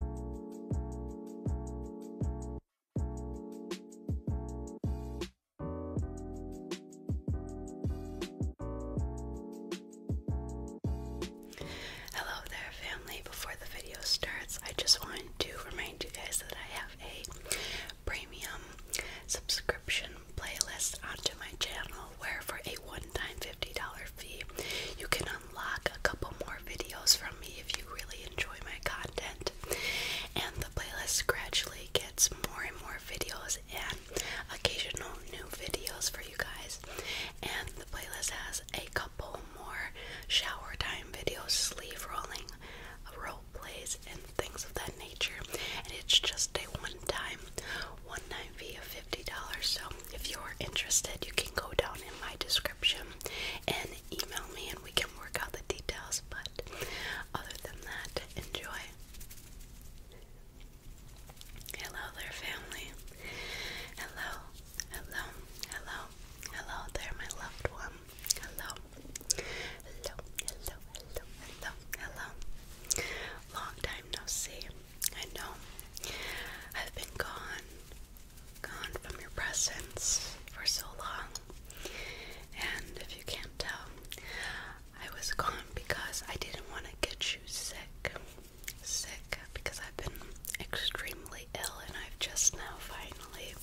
Hello there, family. Before the video starts, I just want to remind you guys that I have a premium subscription playlist onto my channel where, for a one time $50 fee, you can uh, unlock a couple more videos from me if you really enjoy my content. And the playlist gradually gets more and more videos and occasional new videos for you guys. And the playlist has a couple more shower time videos, sleeve rolling, role plays, and things of that nature. And it's just a one time, one time fee of $50. So if you're interested, you can go down in my description and email me and we can work out the details. But other than that, enjoy. Hello there, family. Hello, hello, hello, hello there, my loved one. Hello, hello, hello, hello, hello, Long time no see. I know I've been gone gone from your presence for so long. And if you can't tell, I was gone because I didn't want to get you sick. Sick because I've been extremely ill and I've just now finally,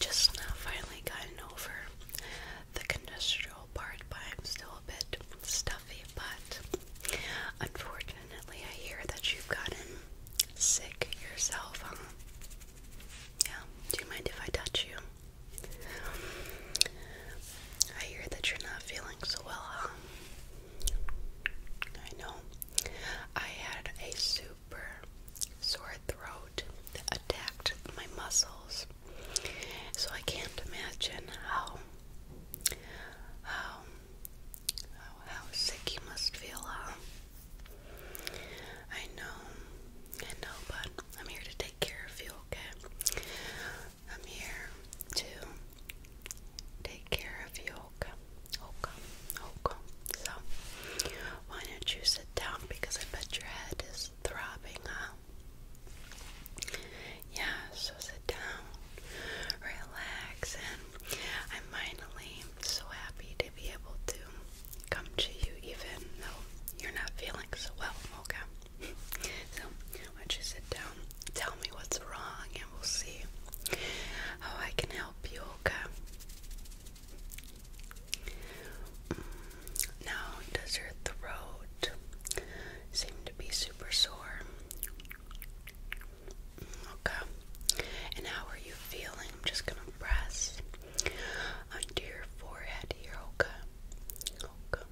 just now finally gotten over the congestive part, but I'm still a bit stuffy. But unfortunately, Definitely, I hear that you've gotten sick yourself, huh? Yeah, do you mind if I touch you? I hear that you're not feeling so well, huh? I know. I had a super sore throat that attacked my muscles. So I can't imagine how Oh, how sick you must feel, huh? I know, I know, but I'm here to take care of you, okay? I'm here to take care of you, okay? Okay, okay. So, why don't you sit down because I bet your head is throbbing, huh? Yeah, so sit down, relax, and I finally so happy to be able to come to you even though you're not feeling so well, okay? so, why you sit down, tell me what's wrong, and we'll see how I can help you, okay? Mm, now, does your throat seem to be super sore? Okay. And how are you feeling? I'm just gonna press under your forehead here, okay? Okay,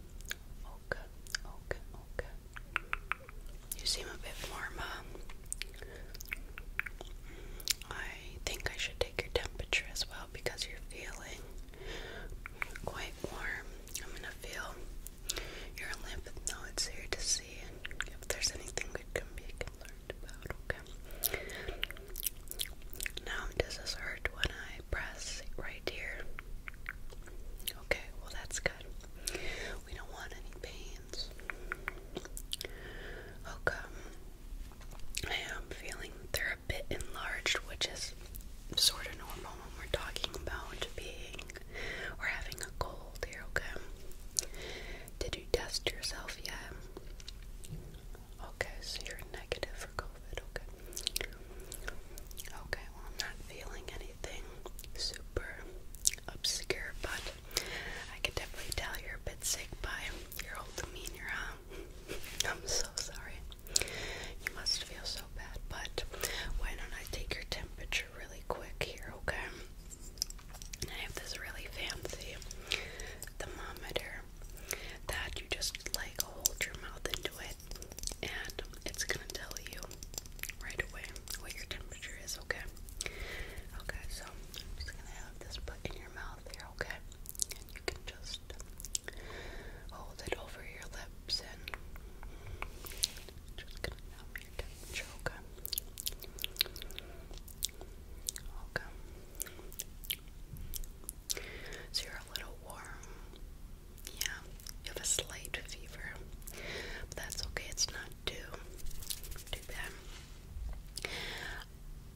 okay, okay, okay. You seem a bit warm um, I think I should take your temperature as well because you're feeling quite warm. I'm gonna feel your lymph nodes here to see if there's anything that can be now, does this hurt when I press right here? Okay, well, that's good. We don't want any pains. Okay. I am feeling they're a bit enlarged, which is sort of normal when we're talking about being or having a cold here, okay? Did you test yourself yet? Okay, so you're negative for COVID, okay. Okay, well, I'm not feeling anything super obscure, but I can definitely tell you're a bit sick by your old demeanor, I'm so sorry. You must feel so bad, but why don't I take your temperature? really quick here, okay? I have this really fancy thermometer that you just like hold your mouth into it and it's gonna tell you right away what your temperature is, okay? Okay, so I'm just gonna have this put in your mouth here, okay? And you can just hold it over your lips and Okay. So you're a little warm. Yeah, you have a slight fever. But that's okay, it's not too too bad.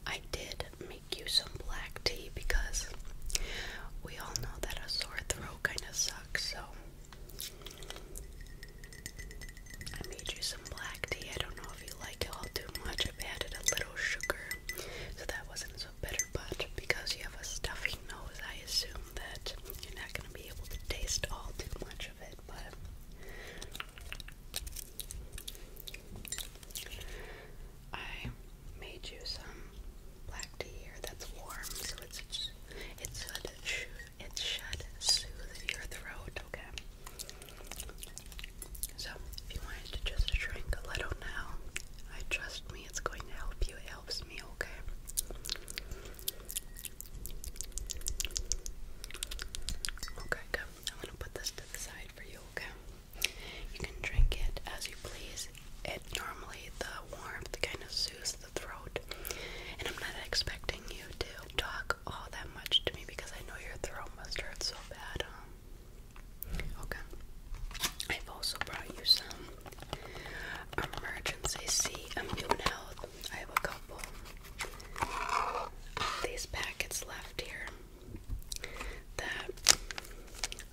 I did make you some black tea because we all know that a sore throat kind of sucks, so I made you some black tea. I don't know if you like it all too much. I've added a little sugar, so that wasn't so bitter. But because you have a stuffy nose, I assume that you're not going to be able to taste all too much of it. But I made you some black tea here that's warm, so it's it's a it should soothe your throat, okay? So, if you wanted to just drink a little now, I trust me, it's going to help you. It helps me, okay? Okay, good. I'm gonna put this to the side for you, okay? You can drink it as you please. It normally the warmth kind of soothes the throat, and I'm not expecting you to talk all that much to me because I know your throat must hurt so bad. Um. okay. I've also brought you some emergency C immune health. I have a couple these packets left here that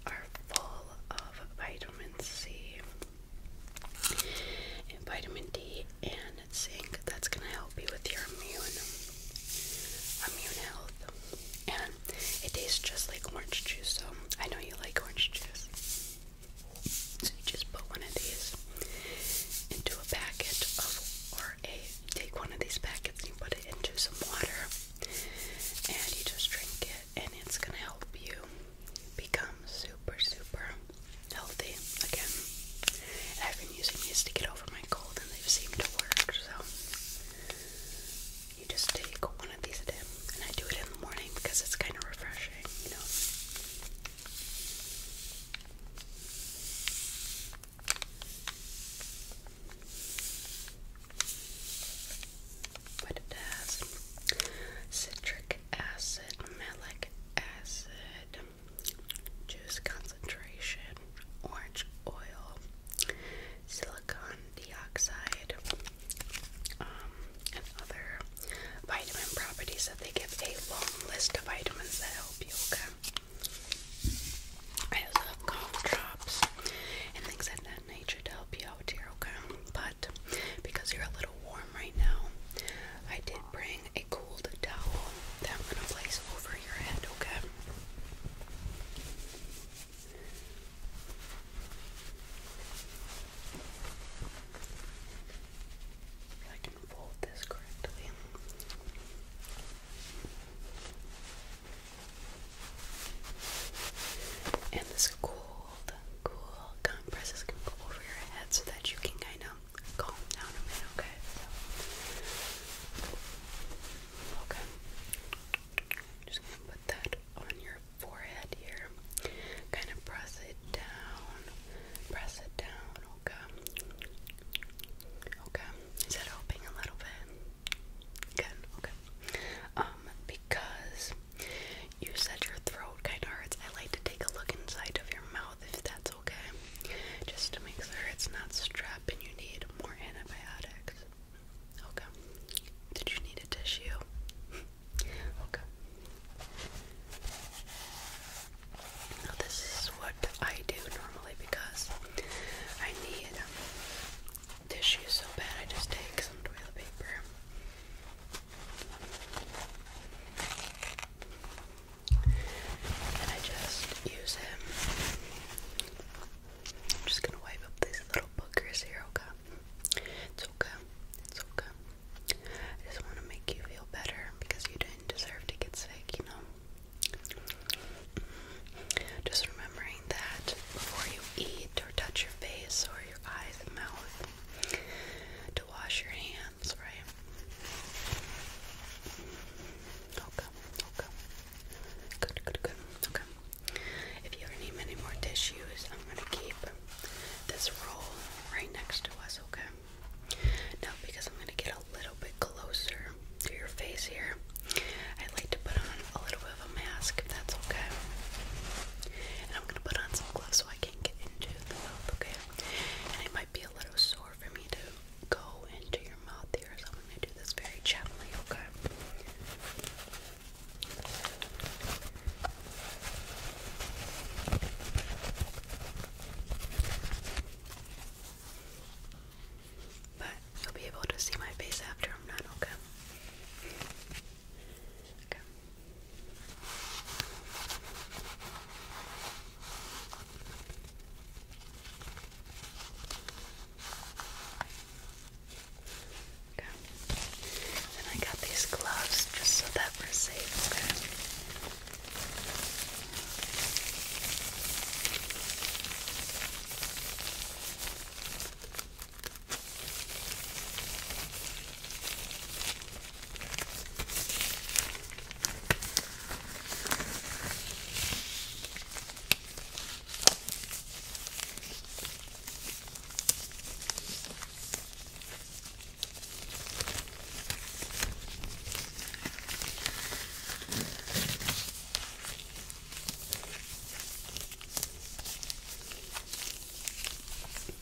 are full of vitamin C vitamin D and and That's going to help you with your immune health. And it tastes just like orange juice, so I know you like orange juice. So you just put one of these into a packet of, or a, take one of these packets and you put it into some water and you just drink it and it's gonna help you become super, super healthy again. I've been using these to get over my cold, and they've seemed to work. So you just take one of these a day, and I do it in the morning because it's kind of refreshing, you know. But it has citric acid, malic acid, juice concentration, orange oil, silicon dioxide, um, and other vitamin properties that they give a long list of vitamins that help you, okay? I also cough drops and things of that nature to help you out here, okay? But because you're a little warm right now, I did bring a cold towel that I'm going to place over your head, okay? If I can fold this correctly. And this cold, cool compress is going to go over your head so that you can kind of calm down a bit, okay? okay. Just gonna put that on your forehead here. Kind of press it down. Press it down, okay? Okay. Is that opening a little bit? Good, okay. Um, because you said your throat kinda hurts, I like to take a look inside of your mouth if that's okay. Just to make sure it's not strep and you need more antibiotics. Okay. Did you need a tissue? okay. this is what I do normally because I need um, tissue so bad I just take some toilet paper and I just use him. I'm just gonna wipe up these little boogers here, okay? It's okay. It's okay. I just want to make you feel better because you didn't deserve to get sick, you know? Just remembering that before you eat or touch your face or your eyes and mouth, to wash your hands sense, Okay, okay. Good, good, good. Okay. If you ever need any more tissues, I'm gonna keep this roll right next to us, okay? Now, because I'm gonna get a little bit closer to your face here, I'd like to put on a little bit of a mask, if that's okay. And I'm gonna put on some gloves so I can't get into the mouth, okay? And it might be a little sore for me to go into your mouth here, so I'm going to do this very gently, okay? But you'll be able to see my face after I'm done, Okay. And I got these gloves just so that we're safe, okay?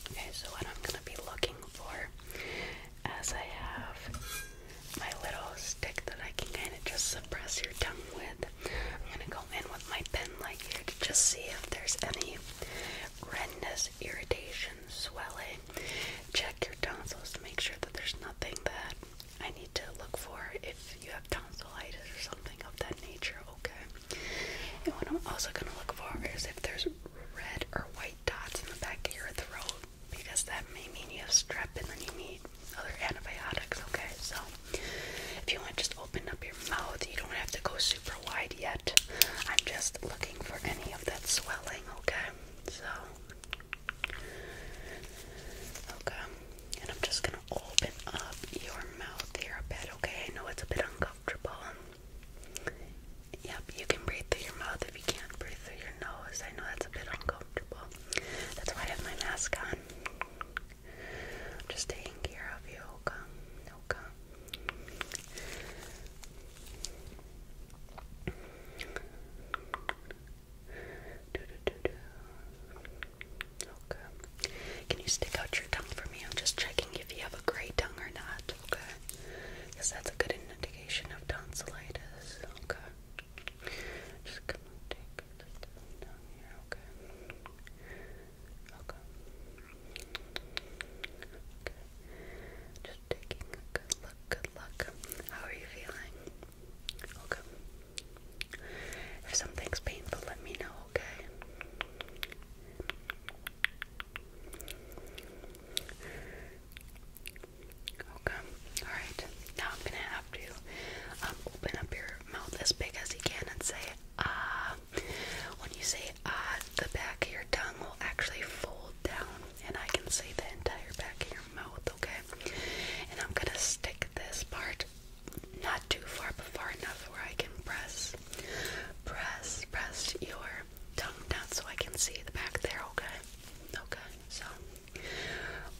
Okay, so what I'm going to be looking for as I have my little stick that I can kind of just suppress your tongue with. I'm going to go in with my pen like here to just see if there's any redness, irritation, swelling. Check your tonsils to make sure that there's nothing that I need to look for if you have tonsillitis or something of that nature, okay? And what I'm also going to look for is if there's red or white dots in the back of your throat because that may mean you have and then you need other antibiotics, okay? So if you want, just open up your mouth. You don't have to go super wide yet. I'm just looking for any of that swelling, okay? So, okay. And I'm just gonna open up your mouth here a bit, okay? I know it's a bit uncomfortable. Yep, you can breathe through your mouth if you can't breathe through your nose. I know that's a bit uncomfortable. That's why I have my mask on. am just taking care of you, okay? Okay. Can you stick out your tongue for me? I'm just checking if you have a gray tongue or not, okay? Because that's a good indication of tonsillitis, okay? Just come and take this down, here, okay? Okay. Okay. Just taking a good look, good luck. How are you feeling? Okay. If something's painful, let me know, okay? Okay. Alright. Now I'm gonna have to um, open up your mouth as big as you can and say ah. When you say ah, the back of your tongue will actually fold down and I can see the entire back of your mouth, okay? And I'm gonna stick this part not too far but far enough where I can press press press your tongue down so I can see the back there, okay? Okay, so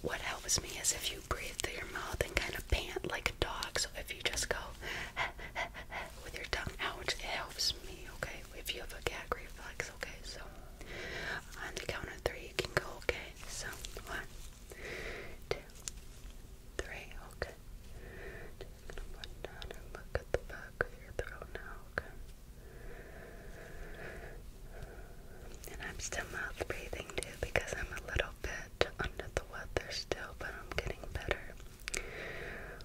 what helps me is if you breathe through your mouth and kind of pant like a dog. So if you just go with your tongue out, it helps me, okay? If you have a gag reflex, okay? So on the count of three, you can go, okay? So one, two, three, okay? Just gonna put down and look at the back of your throat now, okay? And I'm still mouth breathing too because I'm a little bit under the weather still, but I'm getting better.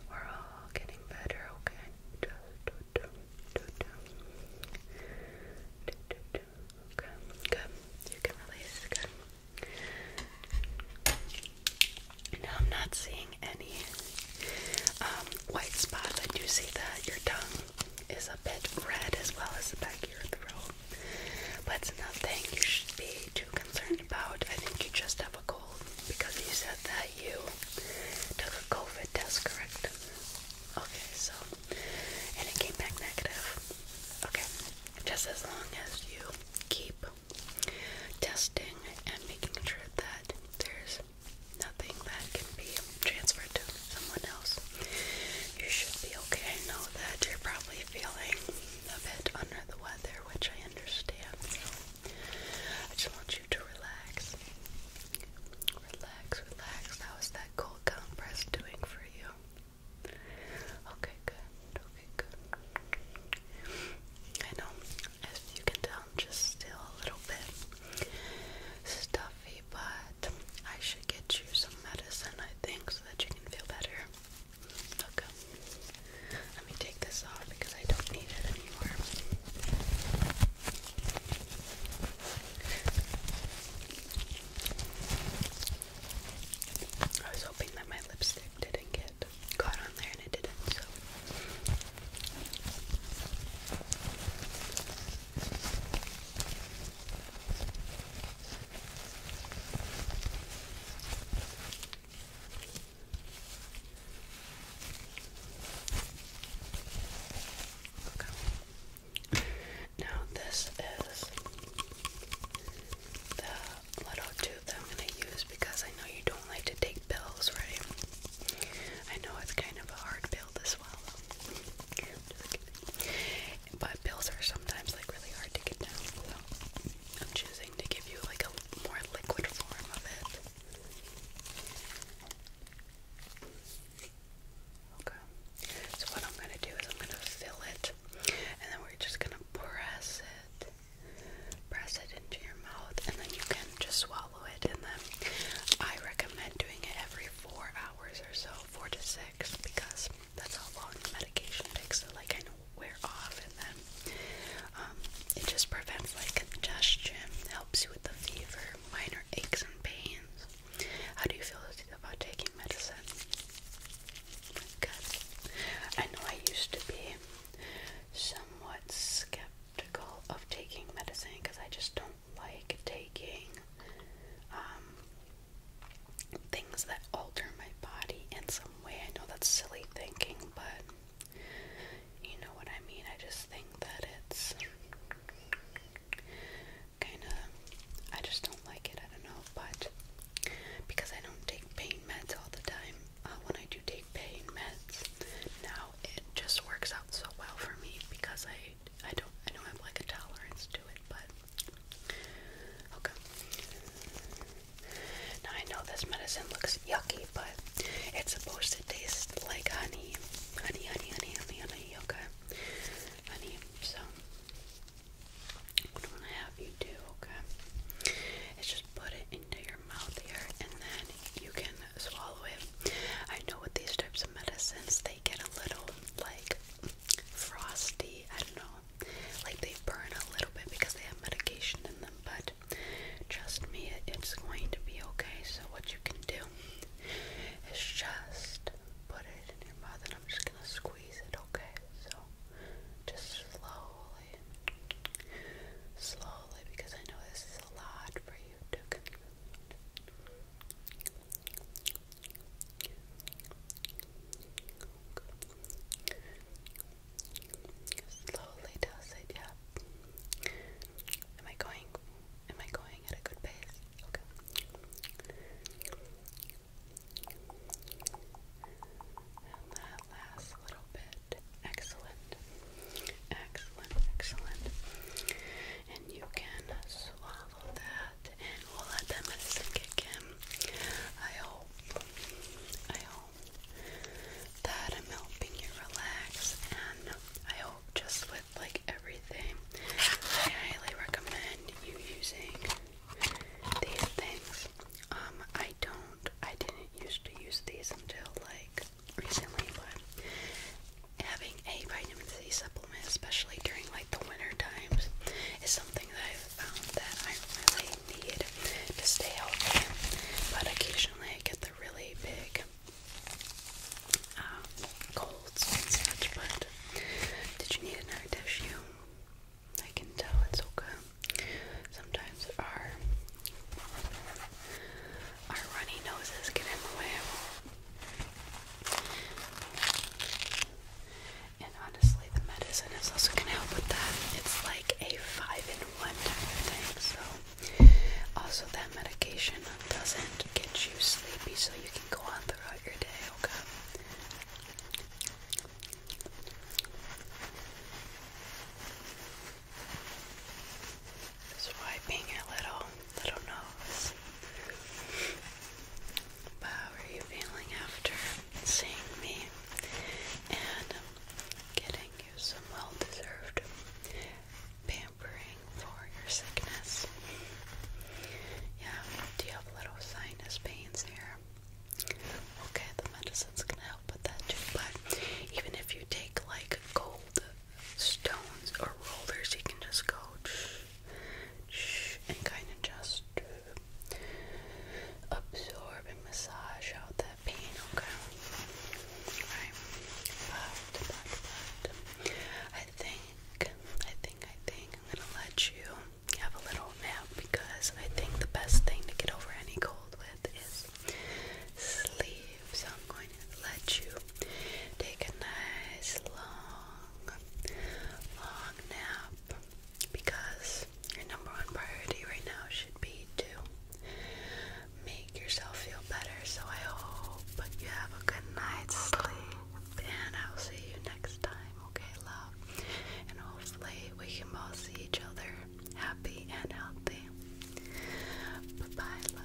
We're all getting better, okay? Just Okay, good. You can release, good. Now I'm not seeing any um, white spots. I do see that your tongue is a bit red as well as the back of your throat. But it's nothing you should be too concerned about. I think you just have a cold because you said that you took a COVID test, correct? Okay, so, and it came back negative. Okay, just as long as you keep testing and making sure that there's nothing that can be transferred to someone else. You should be okay. I know that you're probably feeling a bit under the weather, which I understand. I just want you to relax. Relax, relax. How is that cold compress doing for you? Okay, good. Okay, good. I know, as you can tell, I'm just still a little bit stuffy but I should get you some medicine, I think, so that you can feel better. Okay. Let me take this off because I don't need it anymore. I was hoping that my lipstick didn't get caught on there and it didn't, Okay. Now this is the little tube that I'm going to use because I know you don't like to take pills, right? I know it's kind of a hard pill as well. But pills are sometimes like really hard to get down, so I'm choosing to give you like a more liquid form of it. Okay. So what I'm gonna do is I'm gonna fill it, and then we're just gonna press it, press it into your mouth, and then you can just swallow it. And then I recommend doing it every four hours or so, four to six because that's how long the medication takes to like kind of wear off, and then um, it just prevents like congestion, helps you with the fever, minor aches and pains. How do you feel about taking medicine? Good. I know I used to be somewhat skeptical of taking medicine because I just don't like taking um, things that alter my body in some way. I know that's silly thinking, but you know what I mean. I just think that it's kind of. I just don't like it. I don't know, but because I don't take pain meds all the time, uh, when I do take pain meds, now it just works out so well for me because I right? I don't I don't have like a tolerance to it, but okay. Now I know this medicine looks yucky, but it's supposed to taste like honey. Honey, honey, honey, honey, honey, okay? Honey, so what I'm gonna have you do, okay? Is just put it into your mouth here and then you can swallow it. I know with these types of medicines they get a little like frosty. I don't know. Like they burn a little bit because they have medication in them, but trust me, it's going to be okay. So what you can do is just put it in your mouth, and I'm just gonna squeeze it. Okay, so just slowly, slowly, because I know this is a lot for you to consume. Slowly does it, yeah. Am I going? Am I going at a good pace? Okay. And that last little bit. Excellent. Excellent, excellent. And you can swallow that and we'll let that medicine kick I hope, I hope that I'm helping you relax and I hope just with like everything, I highly recommend you using these things. Um, I don't, I didn't used to use these until like recently, but having a vitamin C supplement, especially during like the winter times, is something that I've found that I really need to stay healthy. But occasionally I get the really big um, colds and such. But did you need another tissue? I can tell it's okay. Sometimes our our runny noses get in the way. And honestly, the medicine is also going to help with that. It's like a five in one type of thing. So, also, that medication doesn't get you sleepy, so you can go on throughout your day, okay? Swiping a little I little nose. But how are you feeling after seeing me and getting you some well deserved pampering for your sickness? Yeah, do you have little sinus pains here? Okay, the medicine's gonna help with that too, but even if you take like gold stones or rollers, you can just go and kind of just uh, absorb and massage out that pain, okay? Right? But, but, but, I think, I think, I think I'm gonna let you have a little nap because I think the best thing to get over any cold with is sleep. So I'm going to let you take a nice long long, long nap because your number one priority right now should be to make yourself feel better. So I hope you have a good night's sleep, and I'll see you next time, okay, love? And hopefully, we can both see each other happy and healthy. Bye bye, love.